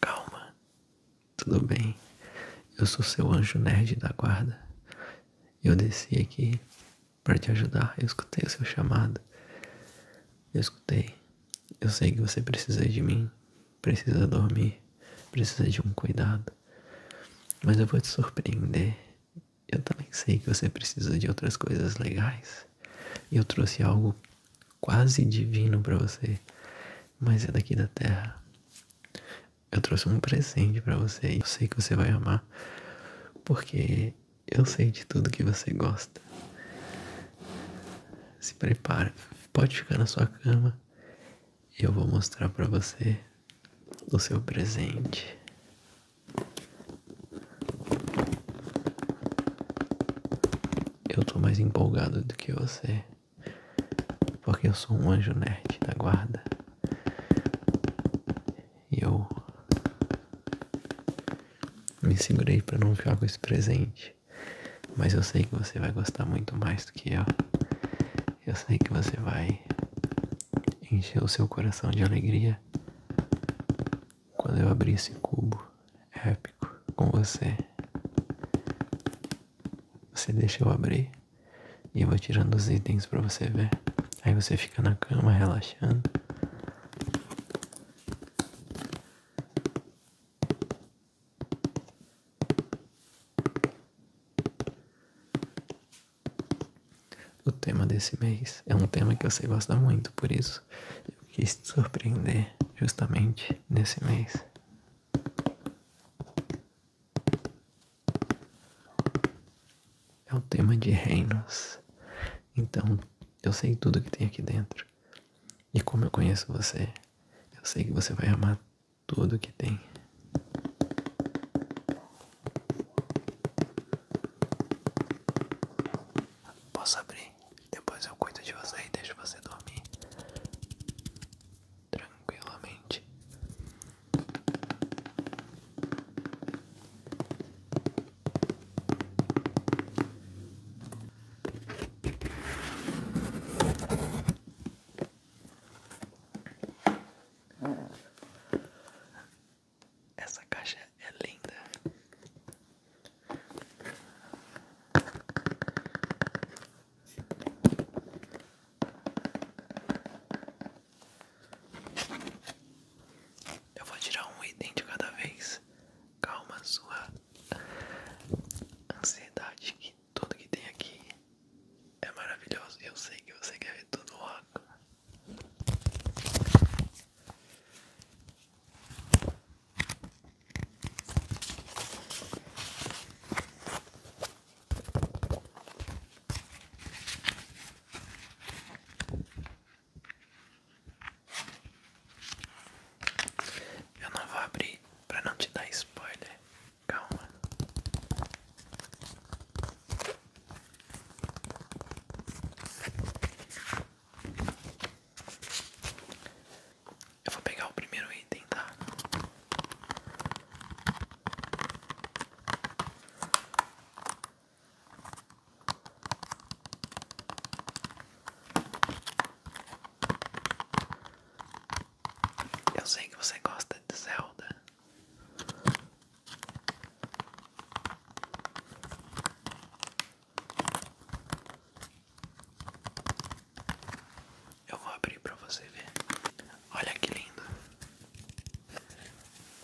Calma, tudo bem. Eu sou seu anjo nerd da guarda. Eu desci aqui para te ajudar. Eu escutei o seu chamado. Eu escutei. Eu sei que você precisa de mim, precisa dormir, precisa de um cuidado. Mas eu vou te surpreender. Eu também sei que você precisa de outras coisas legais. E eu trouxe algo quase divino para você, mas é daqui da terra. Eu trouxe um presente para você e eu sei que você vai amar, porque eu sei de tudo que você gosta. Se prepara, pode ficar na sua cama. Eu vou mostrar para você o seu presente eu tô mais empolgado do que você, porque eu sou um anjo nerd da guarda. E eu me segurei para não ficar com esse presente, mas eu sei que você vai gostar muito mais do que eu. Eu sei que você vai encher o seu coração de alegria quando eu abrir esse cubo épico com você. Você deixa eu abrir e eu vou tirando os itens para você ver. Aí você fica na cama relaxando. O tema desse mês é um tema que eu sei gostar muito, por isso eu quis te surpreender justamente nesse mês. É um tema de reinos, então eu sei tudo que tem aqui dentro. E como eu conheço você, eu sei que você vai amar tudo que tem. Posso abrir? Depois eu cuido de você e deixo você dormir tranquilamente. Essa caixa é linda. Eu vou tirar um item de cada vez. Calma sua ansiedade que tudo que tem aqui é maravilhoso. e Eu sei que você quer ver tudo logo. Eu não vou abrir para não te dar spoiler. Calma. Eu vou pegar o primeiro item, tá? Eu sei que você gosta de Zelda. Eu vou abrir para você ver. Olha que lindo.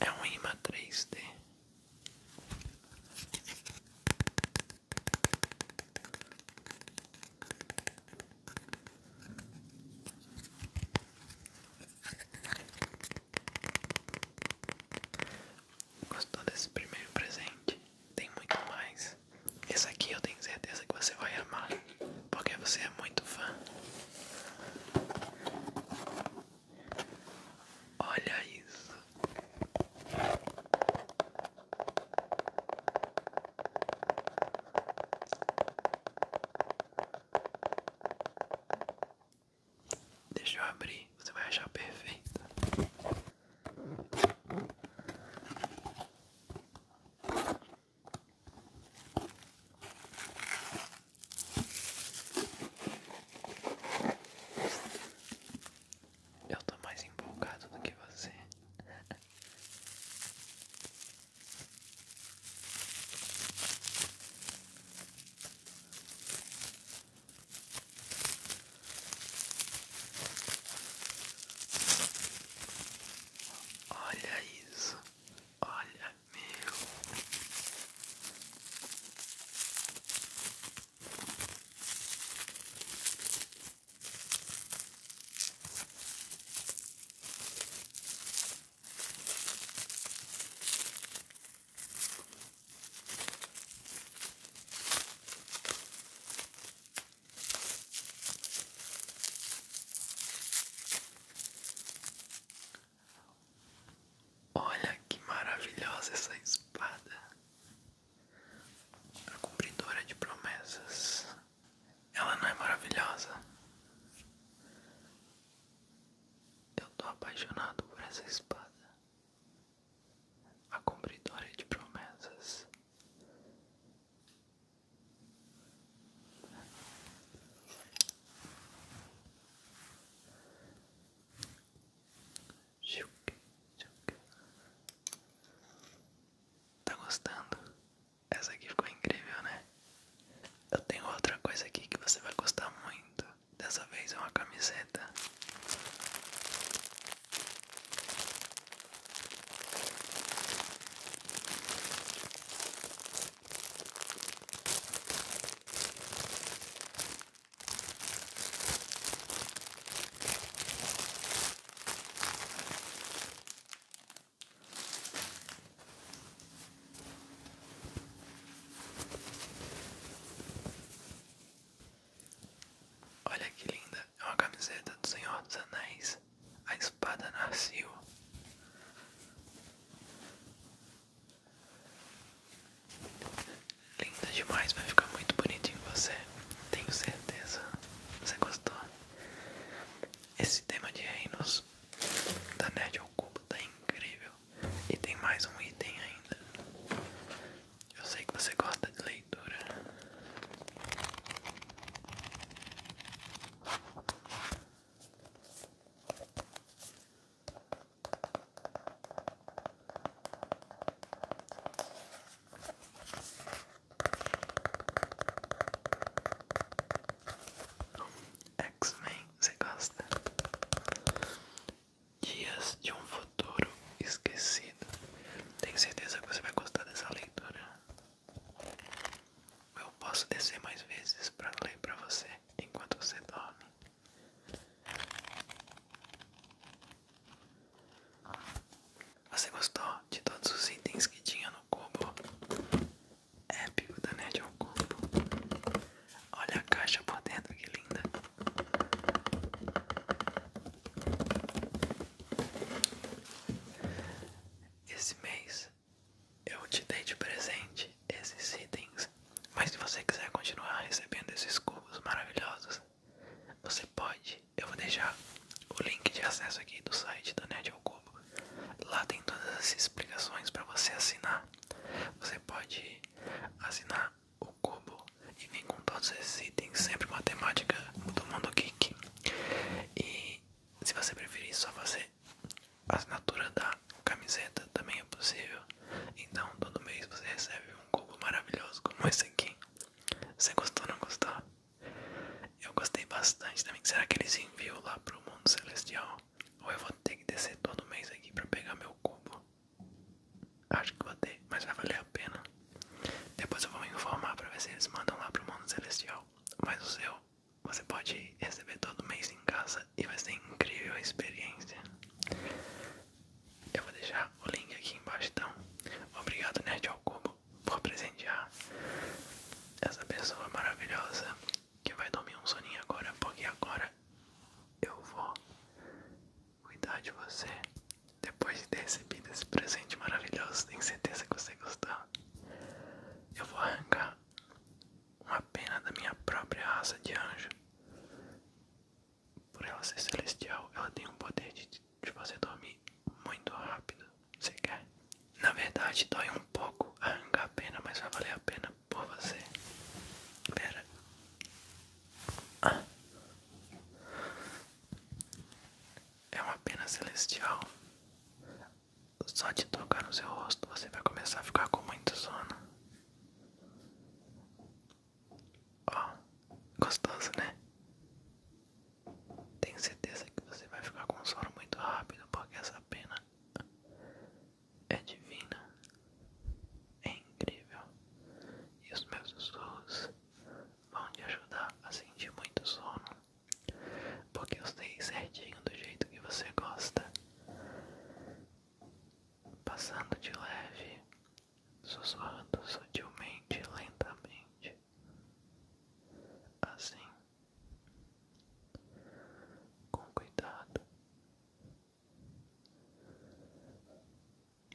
É um imatriz de. Gostou desse primeiro presente? Tem muito mais. Esse aqui eu tenho certeza que você vai amar, porque você é muito fã. Olha isso. Deixa eu abrir, você vai achar perfeita. Eu tô mais empolgado do que você. Olha isso, olha meu. Olha que maravilhosa essa espada, a cumpridora de promessas. Ela não é maravilhosa? Eu tô apaixonado por essa espada a cumpridora de promessas. Tá gostando? Essa aqui ficou incrível, né? Eu tenho outra coisa aqui que você vai gostar muito. Dessa vez é uma camiseta. Olha que linda, é uma camiseta do Senhor dos Anéis, a espada Narciso. Linda demais, vai ficar muito bonitinho você, tenho certeza. Você gostou? Esse tema de reinos da Nerd ao Cubo tá incrível. E tem mais um item ainda. Eu sei que você gosta de leitura. X-Men, você gosta? Dias de um futuro esquecido. Tenho certeza que você vai gostar dessa leitura. Eu posso descer mais vezes para ler para você enquanto você dorme. Você gostou de todos os itens que tinha no cubo? Épico da Nerd ao é Cubo. Olha a caixa por dentro, que linda. Esse mês eu te dei de presente esses itens, mas se você quiser continuar recebendo esses cubos maravilhosos, você pode. Eu vou deixar o link de acesso aqui do site da Nerd Cubo. Lá tem todas as explicações para você assinar você pode assinar o cubo e vir com todos esses itens, sempre matemática do mundo geek. E se você preferir só fazer a assinatura da camiseta, também é possível. Então todo mês você recebe um cubo maravilhoso como esse aqui. Você gostou ou não gostou? Eu gostei bastante também. Será que eles enviam lá para o mundo celestial? Ou eu vou ter que descer todo mês aqui pra pegar meu cubo. Acho que vou ter, mas vai valer a pena. Depois eu vou me informar pra ver se eles mandam lá pro mundo celestial. Mas o seu, você pode receber todo mês em casa e vai ser incrível a experiência. Eu vou deixar o link aqui embaixo então. Obrigado Nerd ao Cubo por presentear essa pessoa maravilhosa que vai dormir um soninho agora, porque agora eu vou cuidar de você. Depois de ter recebido esse presente maravilhoso, tenho certeza que você gostou. Eu vou arrancar uma pena da minha própria raça de anjo. Por ela ser celestial, ela tem o poder de te fazer dormir muito rápido. Você quer? Na verdade, dói um pouco arrancar a pena, mas vai valer a pena por você. Pera. Ah. É uma pena celestial. Só de tocar no seu rosto você vai começar a ficar com muito sono. Ó, oh, gostoso, né? Tenho certeza que você vai ficar com sono muito rápido porque essa pena é divina, é incrível e os meus sussurros vão te ajudar a sentir muito sono, porque eu sei certinho do jeito que você gosta, passando de leve, sussurrando sutilmente, lentamente, assim com cuidado.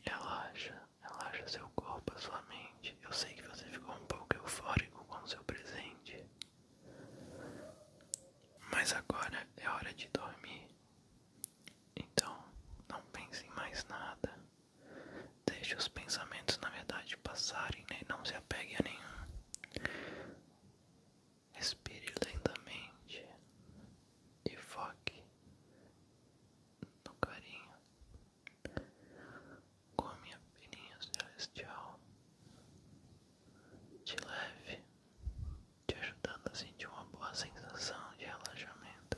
Relaxa, relaxa seu corpo, sua mente. Eu sei que você ficou um pouco eufórico com o seu presente, mas agora é hora de dormir. Então, não pense em mais nada. Deixe os pensamentos, na verdade, passarem, né? Não se apegue a nenhum. Respire lentamente e foque no carinho com a minha filhinha celestial. Te leve, te ajudando a sentir uma boa sensação de relaxamento.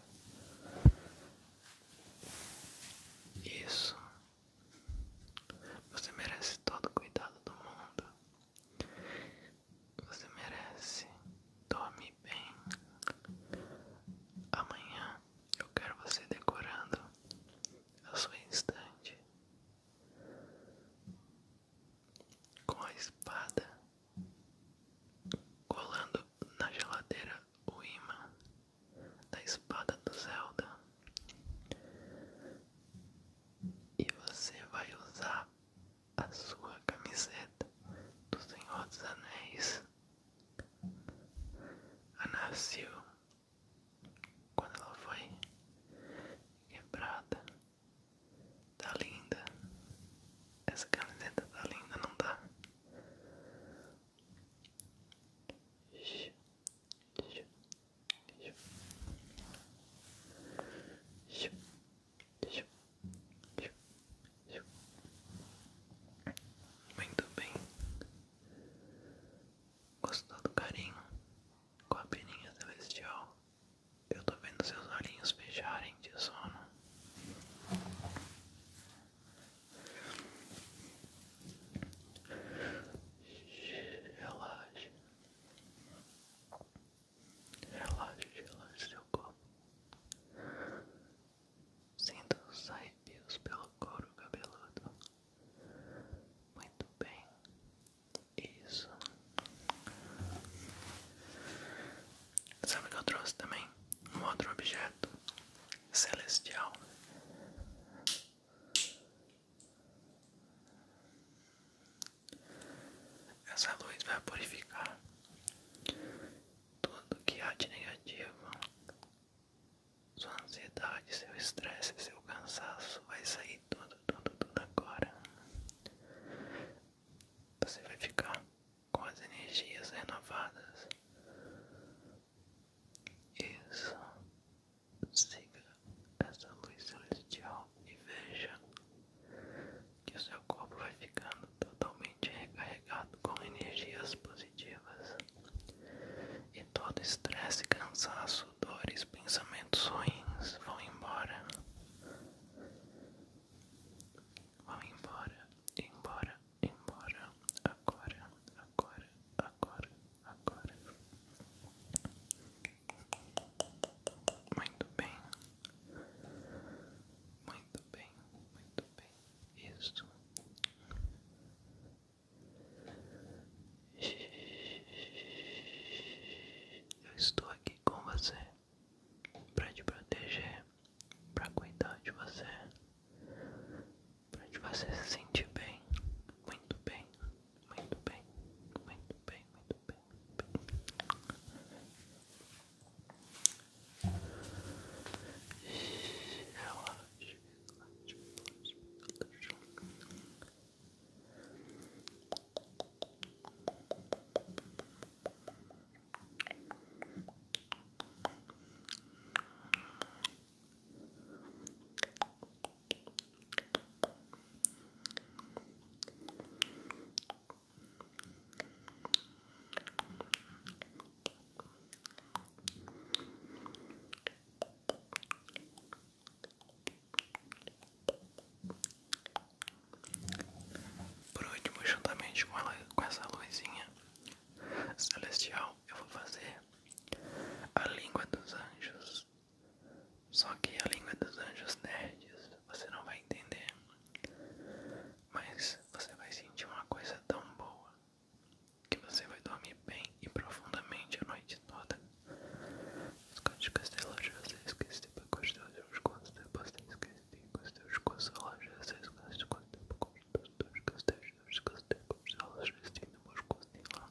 Isso você merece todo o cuidado do mundo. Você merece dormir bem. Amanhã eu quero você decorando a sua estante com a espada colando na geladeira o imã da espada do Zelda. E você vai usar a sua camiseta do Senhor dos Anéis. A nasceu quando ela foi quebrada. Tá linda. Essa camiseta tá linda, não tá? Muito bem. Gostou do carinho? Com a peninha celestial. Eu tô vendo seus olhinhos fecharem de sono. Relaxe, Relaxe, relaxe seu corpo. Sinta os arrepios pelo couro cabeludo. Muito bem. Isso. Sabe o que eu trouxe também? Um outro objeto celestial. Essa luz vai purificar tudo que há de negativo. Sua ansiedade, seu estresse, seu cansaço vai sair tudo, tudo, tudo agora. Você vai ficar com as energias renovadas. Isso. Siga essa luz celestial e veja que o seu corpo vai ficando totalmente recarregado com energias positivas e todo estresse, cansaço, dores, pensamentos ruins vão embora. Vão embora, embora, embora, agora, agora, agora, agora. Muito bem, muito bem, muito bem. Isso. Eu estou aqui com você para te proteger, para cuidar de você, para que você se sentir bem, muito bem, muito bem, muito bem, muito bem. Por último, juntamente com, ela, com essa luzinha celestial, eu vou fazer a língua dos anjos. Só que a língua dos anjos nerds você não vai entender, mas você vai sentir uma coisa tão boa que você vai dormir bem e profundamente a noite toda. Escute castelo de você esquece para costar os costos, depois você esquece para costar os costos, loja você esquece para costar os costos, depois você esquece para costar os costos, loja você esquece para costar os costos,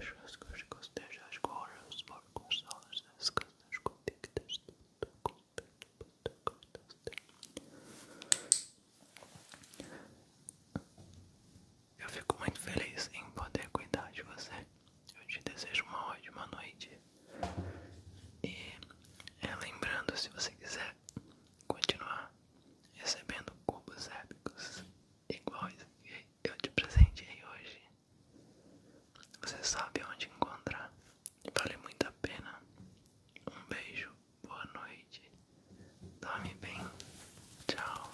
As rascas costejas agora, os porcos são as rascadas convictas do conta Eu fico muito feliz em poder cuidar de você. Eu te desejo uma ótima noite. E é, lembrando, se você quiser continuar recebendo cubos épicos iguais que eu te presentei hoje. Você sabe onde encontrar. Vale muito a pena. Um beijo, boa noite. Dorme bem. Tchau.